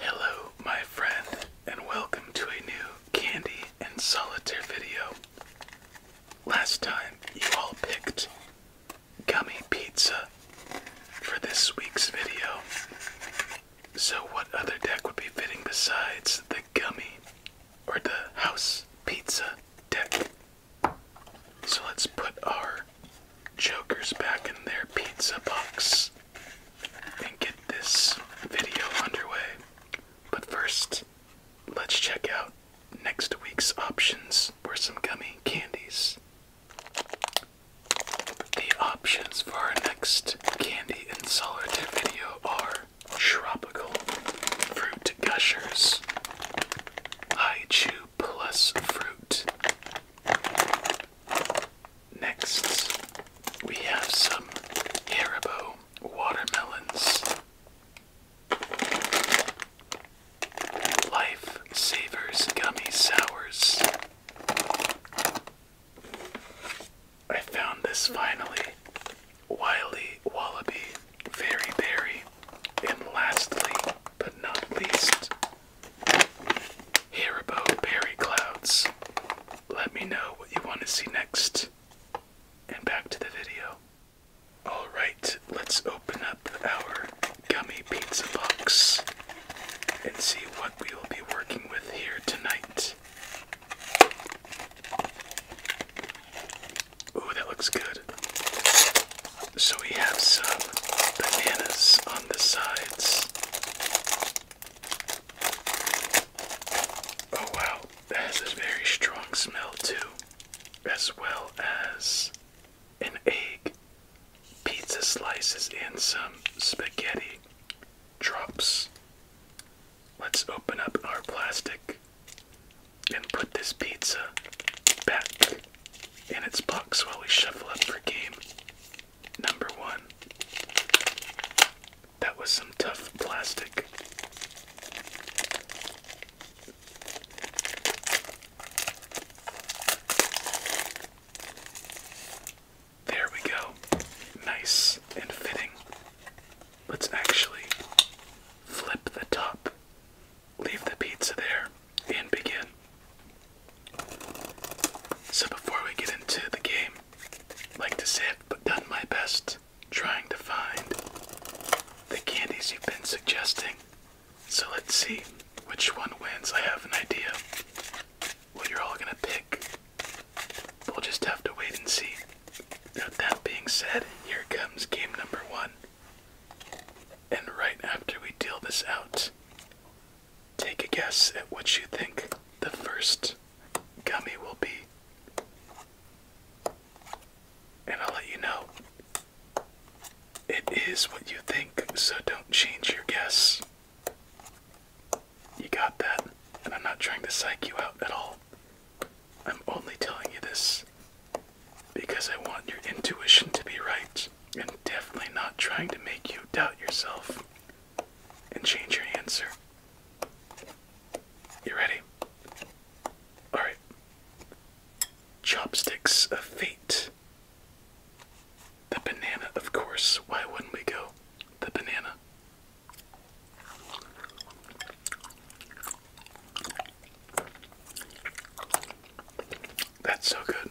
Hello, my friend, and welcome to a new Candy and Solitaire video. Last time, you all picked gummy pizza for this week's video. So, what other deck would be fitting besides the gummy or the house pizza deck? So, let's put our Joker's back in their pizza box and get this video underway. But first, let's check out next week's options for some gummy candies. The options for our next candy and solitaire video are tropical fruit gushers, I chew plus fruit, Next, we have some Haribo watermelons. Life Gummy Sours. I found this finally. Wiley Wallaby Fairy Berry. And lastly, but not least, Hear about Perry Clouds. Let me know what you want to see next. And back to the video. Alright, let's open up our gummy pizza box and see what we will be working with here tonight. Ooh, that looks good. So we have some bananas on the sides. Oh wow, that has a very strong smell too, as well as an egg, pizza slices, and some spaghetti drops. Let's open up our plastic and put this pizza back in its box while we shuffle up for game number one. That was some tough plastic. There we go. Nice and fitting. Let's actually flip the top Leave the pizza there and begin. So, before we get into the game, I'd like to say I've done my best trying to find the candies you've been suggesting. So, let's see which one wins. I have an idea what you're all gonna pick. We'll just have to wait and see. Now, that being said, here comes game number one. And right after we deal this out, Take a guess at what you think the first gummy will be. And I'll let you know. It is what you think, so don't change your guess. You got that, and I'm not trying to psych you out at all. I'm only telling you this because I want your intuition to be right definitely not trying to make you doubt yourself and change your answer. You ready? Alright. Chopsticks of fate. The banana, of course. Why wouldn't we go? The banana. That's so good.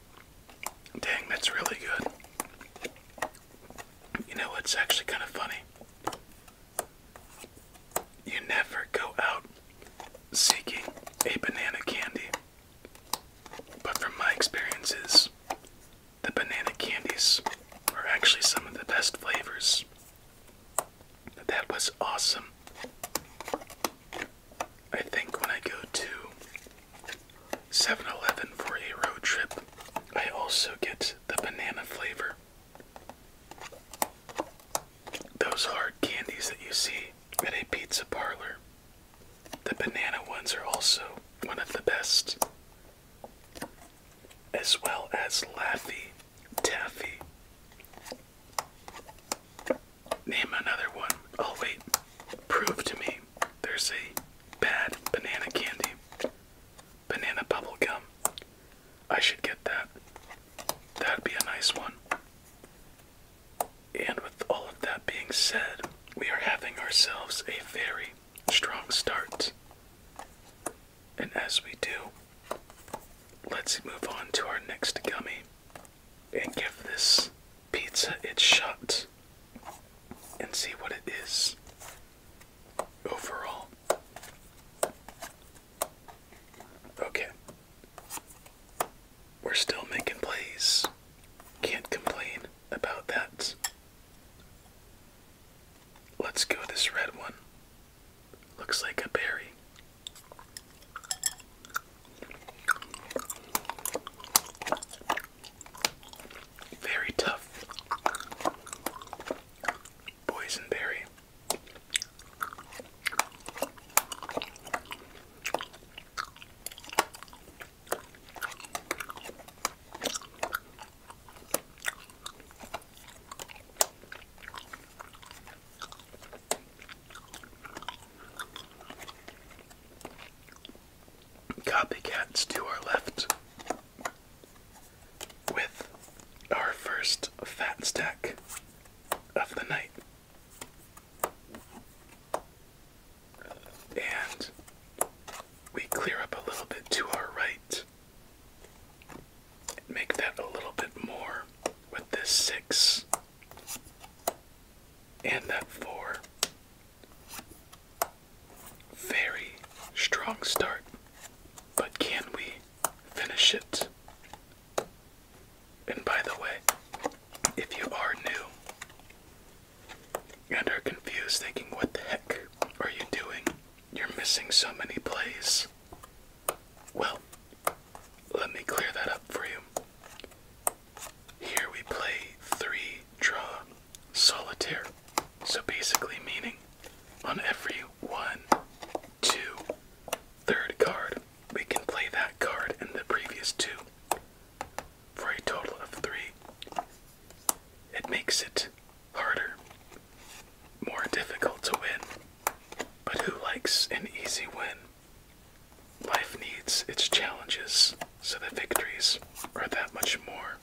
Dang, that's really good. You know what's actually kind of funny? You never go out seeking a banana candy. But from my experiences, the banana candies are actually some of the best flavors. That was awesome. I think when I go to 7 Eleven for a road trip. I also get the banana flavor. Those hard candies that you see at a pizza parlor. The banana ones are also one of the best, as well as Laffy Taffy. Name another one. Oh, wait. Prove to me there's a bad banana candy. Banana bubble gum. I should get that. That'd be a nice one. And with all of that being said, we are having ourselves a very strong start. And as we do, let's move on to our next gummy and give this pizza its shot and see what it is overall. Okay. We're still making plays. Can't complain about that. Let's go this red one. Looks like a berry. Very tough boysenberry. Copycats to our left with our first fat stack of the night. And we clear up a little bit to our right. Make that a little bit more with this six and that four very strong start but can we finish it and by the way if you are new and are confused thinking what the heck are you doing you're missing so many plays well let me clear that up for you here we play three draw solitaire. So basically, meaning on every one, two, third card, we can play that card and the previous two for a total of three. It makes it harder, more difficult to win. But who likes an easy win? Life needs its challenges, so the victories are that much more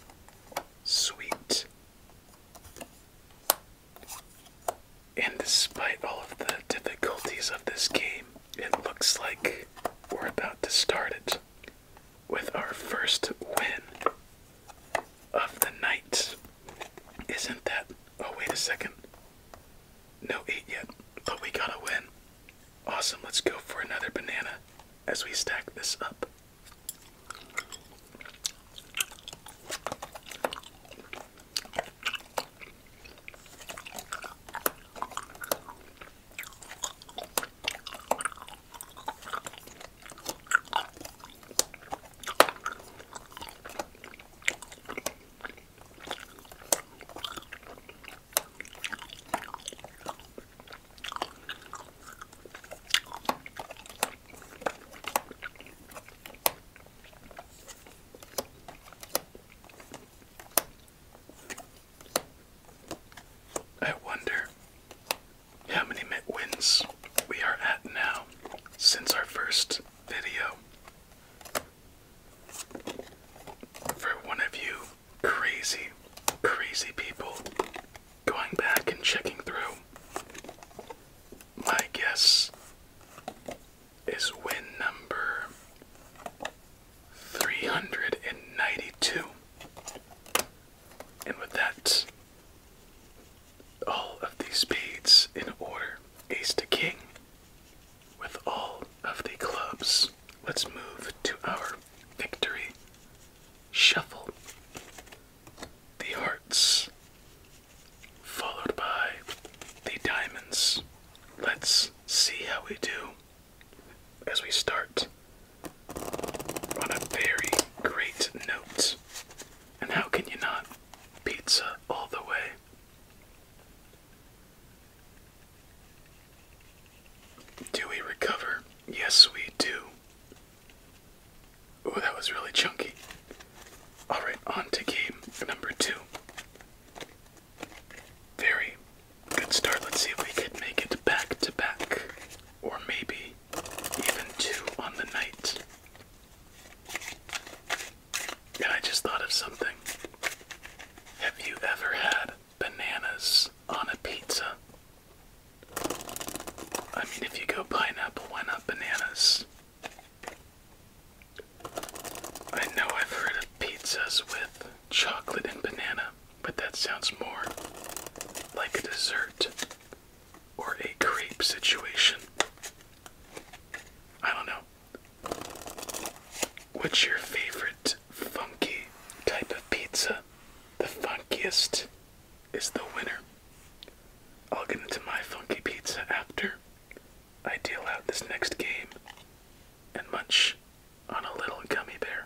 sweet. And despite all of the difficulties of this game, it looks like we're about to start it with our first win of the night. Isn't that? Oh, wait a second. No eat yet, but we gotta win. Awesome, let's go for another banana as we stack this up. I wonder how many wins we are at now since our first video. For one of you crazy, crazy people going back and checking through, my guess is win number 392. And with that, all of these beads in order ace to king, with all of the clubs, let's move to our victory shuffle. The hearts, followed by the diamonds. Let's see how we do as we start on a very great note. And how can you not? Pizza all the way. Do we recover? Yes, we do. Oh, that was really chunky. Alright, on to game number two. Very good start. Let's see if we could make it back to back, or maybe even two on the night. And I just thought of something. Have you ever had bananas on a pizza? I mean, if you go pineapple, why not bananas? I know I've heard of pizzas with chocolate and banana, but that sounds more like a dessert or a crepe situation. I don't know. What's your favorite funky type of pizza? The funkiest is the winner. I'll get into my funky pizza after I deal out this next game and munch on a little gummy bear.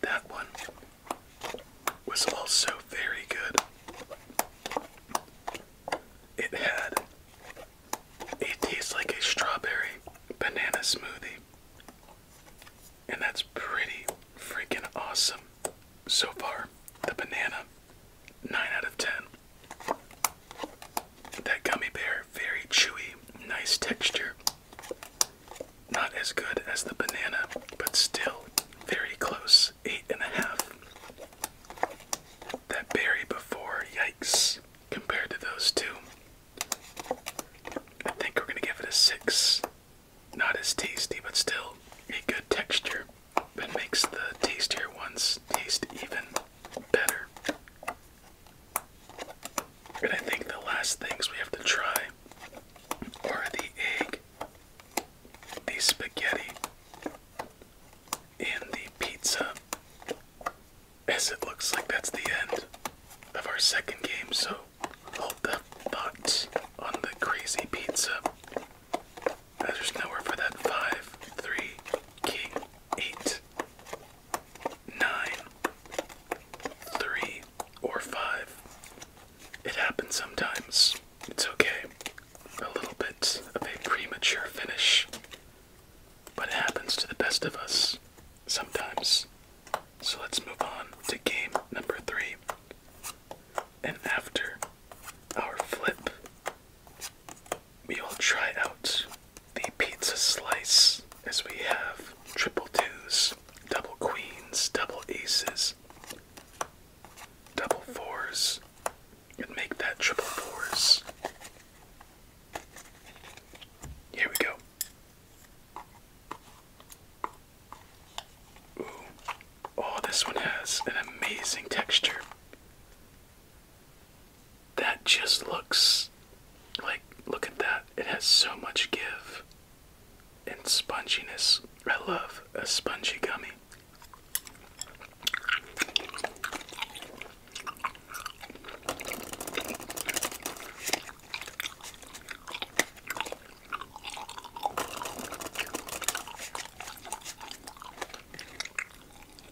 That one was also very good. It had it tastes like a strawberry banana smoothie. And that's pretty freaking awesome so far. The banana 9 out of 10. That gummy bear, very chewy, nice texture. Not as good as the banana, but still very close. Eight and a half. That berry before, yikes, compared to those two. I think we're gonna give it a six. Not as tasty, but still a good texture that makes the tastier ones taste even better. And I think the last things we have to try are the egg, the spaghetti, and the pizza. As it looks like that's the end of our second game, so hold the thoughts on the crazy pizza there's nowhere for that. Five, three, or five. It happens sometimes. It's okay. A little bit of a premature finish. But it happens to the best of us sometimes. So let's move on to game number three. And after our flip we will try out the pizza slice as we have triple twos, double queens, double aces, double fours, and make that triple fours. Here we go. Oh, this one has an amazing texture that just looks like look at that it has so much give and sponginess i love a spongy gummy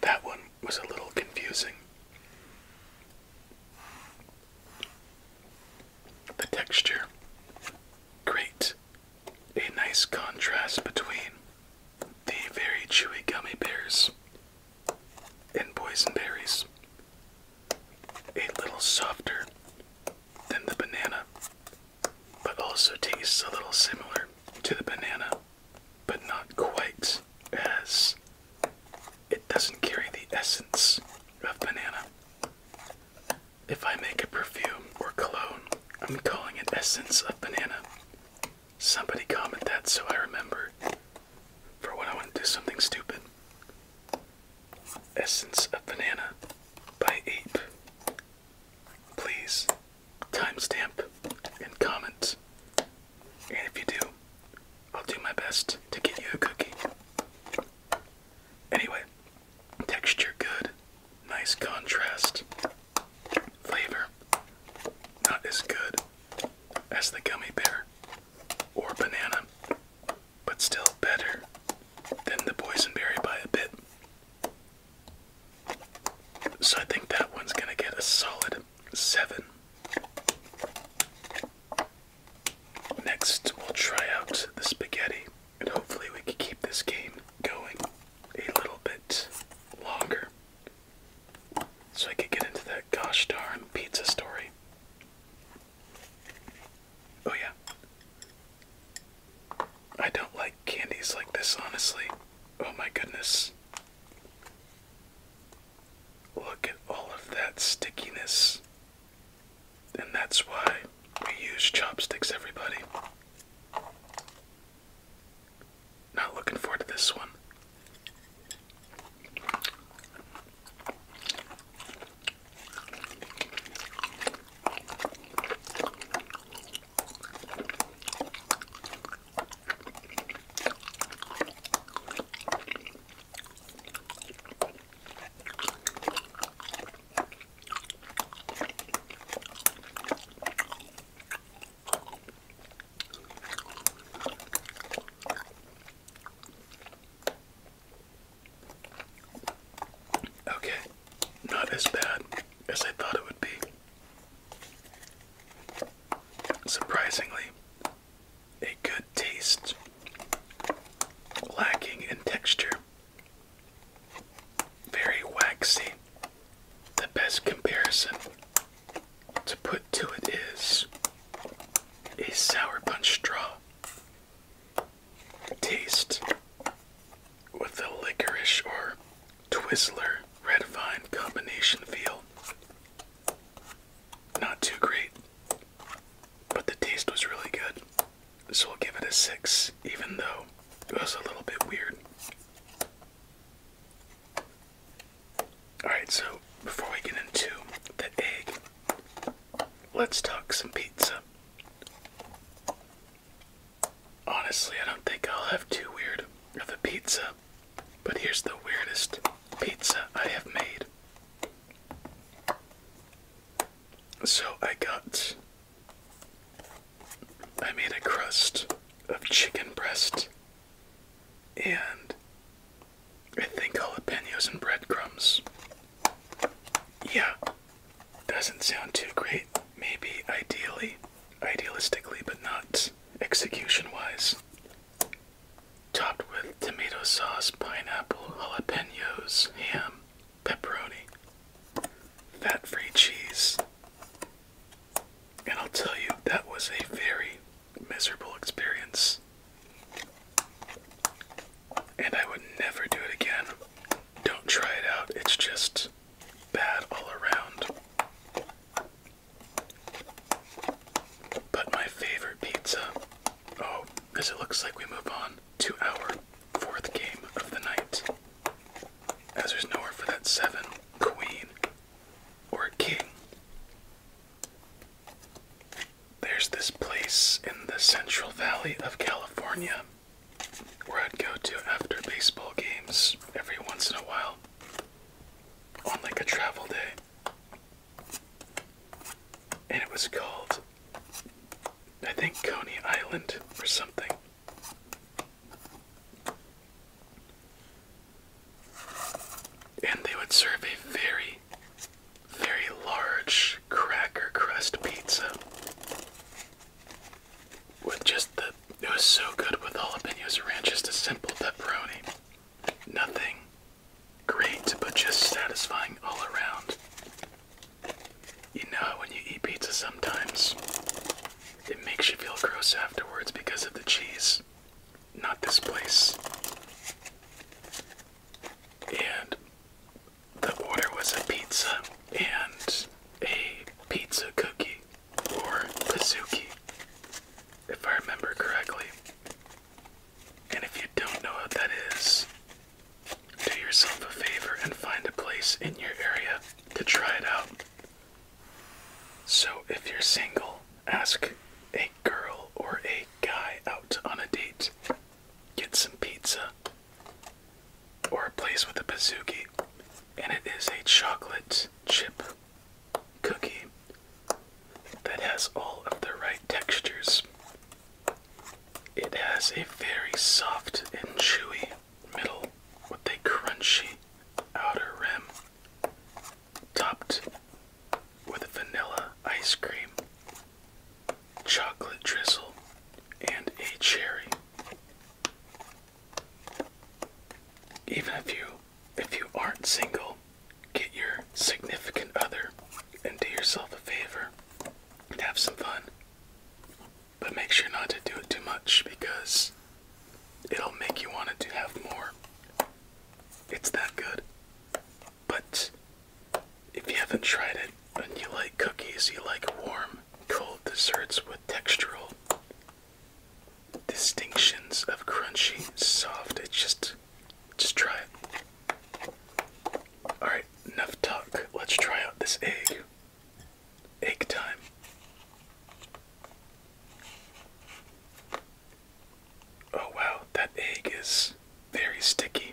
That one was a little confusing. The texture great. a nice contrast between the very chewy gummy bears and poison berries. a little softer than the banana, but also tastes a little similar to the banana but not quite as it doesn't carry the essence of banana. If I make a perfume or cologne, I'm calling it essence of banana. Somebody comment that so I remember for when I want to do something stupid. Essence of Banana by Ape. Please timestamp and comment. And if you do, I'll do my best to get you a cookie. Anyway, texture good, nice contrast. Flavor not as good as the gummy bear or banana, but still better than the poison berry by a bit. So I think that one's going to get a solid 7. Next, we'll try out the spaghetti, and hopefully, we can keep this game going a little bit longer so I can get into that gosh darn pizza story. Oh, yeah. I don't like candies like this, honestly. Oh my goodness. Look at all of that stickiness. And that's why we use chopsticks, everybody. Not looking forward to this one. Okay, not as bad as I thought it would be. Surprisingly, a good taste, lacking in texture, very waxy. The best comparison to put to it is a sour punch straw taste with the licorice or Twizzler Red Vine combination feel. Not too great, but the taste was really good. So I'll give it a 6, even though it was a little bit weird. Alright, so before we get into the egg, let's talk some pizza. Honestly, I don't think I'll have too weird of a pizza, but here's the weirdest pizza I have made. So I got. I made a crust of chicken breast and I think jalapenos and breadcrumbs. Yeah, doesn't sound too great, maybe ideally, idealistically, but not execution wise. Topped with tomato sauce, pineapple, jalapenos, ham, pepperoni, fat free cheese. And I'll tell you, that was a very miserable experience. And I would never do it again. Don't try it out, it's just bad all around. But my favorite pizza. Oh, as it looks like we move on to our fourth game of the night. As there's nowhere for that seven, queen, or king. There's this place in the Central Valley of California where I'd go to after baseball games every once in a while on like a travel day. And it was called, I think, Coney Island or something. And they would serve a very, very large cracker crust pizza with just the it was so good with all the jalapenos around, just a simple pepperoni. Nothing great, but just satisfying all around. You know, when you eat pizza sometimes, it makes you feel gross afterwards because of the cheese. Not this place. And the order was a pizza and a pizza cookie or Kazuki, if I remember correctly. And if you don't know what that is, do yourself a favor and find a place in your area to try it out. So if you're single, ask a girl or a guy out on a date. Get some pizza or a place with a bazooki, and it is a chocolate chip cookie that has all of the right textures. It has a very soft and chewy middle with a crunchy outer rim, topped with vanilla ice cream, chocolate drizzle, and a cherry. Even if you if you aren't single, get your significant other and do yourself a favor and have some fun. But make sure not to do it too much because it'll make you want to have more. It's that good. But if you haven't tried it and you like cookies, you like warm, cold desserts with textural distinctions of crunchy, soft. It's just, just try it. All right, enough talk. Let's try out this egg. Egg time. Oh wow, that egg is very sticky.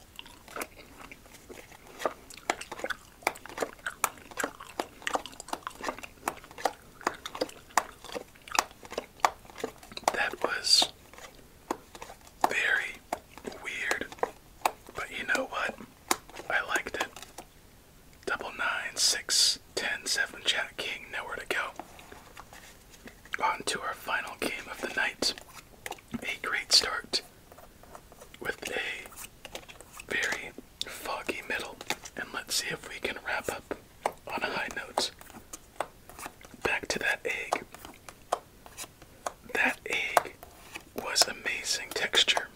That was very weird, but you know what? I liked it. Double nine, six, ten, seven, Jack King, nowhere to go. On to our final game of the night. A great start with a very foggy middle. And let's see if we can wrap up on a high note. Back to that egg. That egg was amazing texture,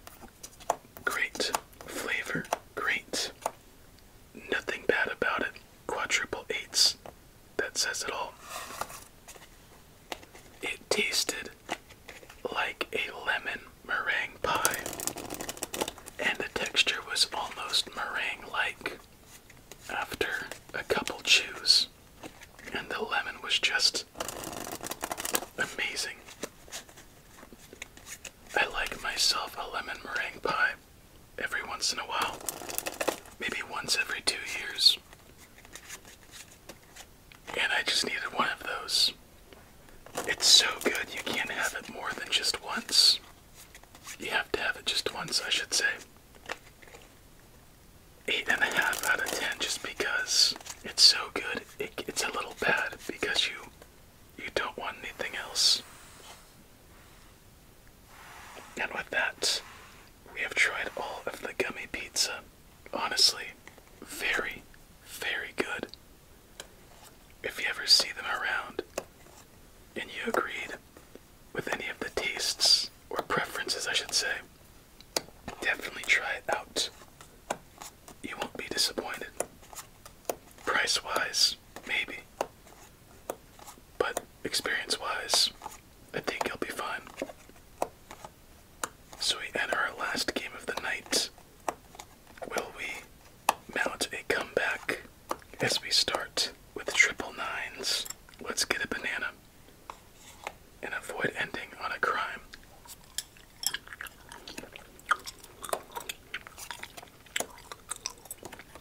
great flavor, great. Nothing bad about it. Quadruple eights that says it all. It tasted like a lemon meringue pie, and the texture was almost meringue like after a couple chews, and the lemon was just amazing. I like myself a lemon meringue pie every once in a while, maybe once every two years. And I just needed one of those. It's so good, you can't have it more than just once. You have to have it just once, I should say. Eight and a half out of ten, just because it's so good. it's a little bad because you you don't want anything else. And with that, we have tried all of the gummy pizza. Honestly, very, very good. If you ever see them around and you agreed with any of the tastes or preferences, I should say, definitely try it out. You won't be disappointed. Price wise, maybe, but experience wise, I think he'll be fine. So we enter our last game of the night. Will we mount a comeback as we start with triple nines? Let's get a banana and avoid ending on a crime.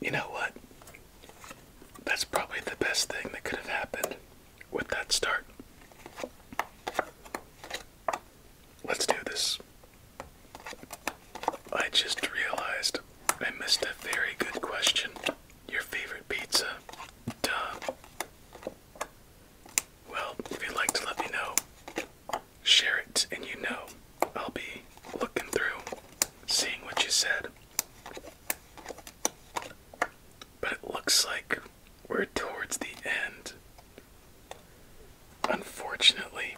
you know what? That's probably the best thing that could have happened with that start. Let's do this. I just realized I missed a very good question. Your favorite pizza? Duh. Well, if you'd like to let me know, share it, and you know I'll be looking through, seeing what you said. But it looks like we're towards the end. Unfortunately.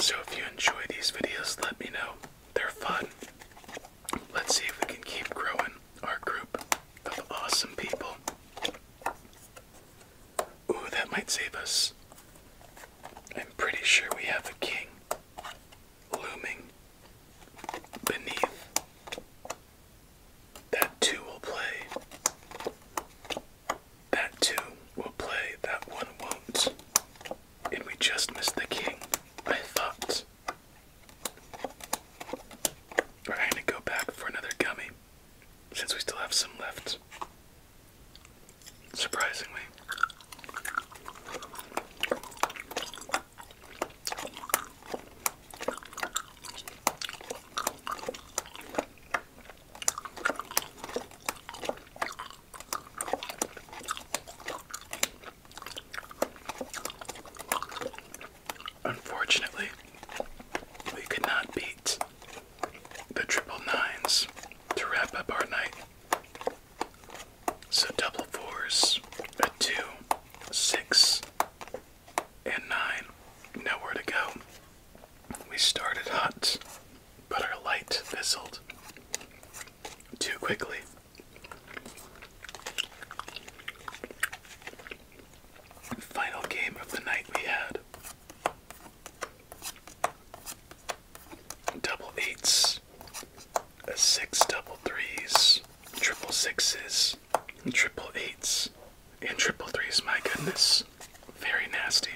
So if you enjoy these videos, let me know. They're fun. Let's see if we can keep growing our group of awesome people. Ooh, that might save us. I'm pretty sure we have a king looming beneath. That two will play. That two will play, that one won't. And we just missed the king, I thought. We're going to go back for another gummy since we still have some left. Surprisingly. Unfortunately, we could not beat the triple nines to wrap up our night. So double fours, a two, six, and nine. Nowhere to go. We started hot, but our light fizzled too quickly. Final game of the night we had double eights, a six double threes, triple sixes, triple eights, and triple threes. My goodness, very nasty.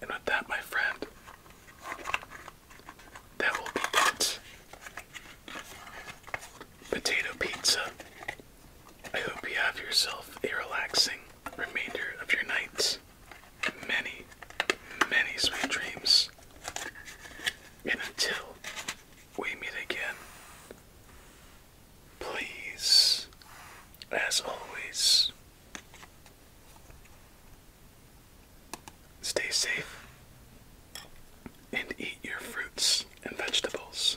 And with that, my friend, that will be that. Potato pizza I hope you have yourself a relaxing remainder of your night. Many, many sweet dreams. And until we meet again, please, as always, stay safe and eat your fruits and vegetables.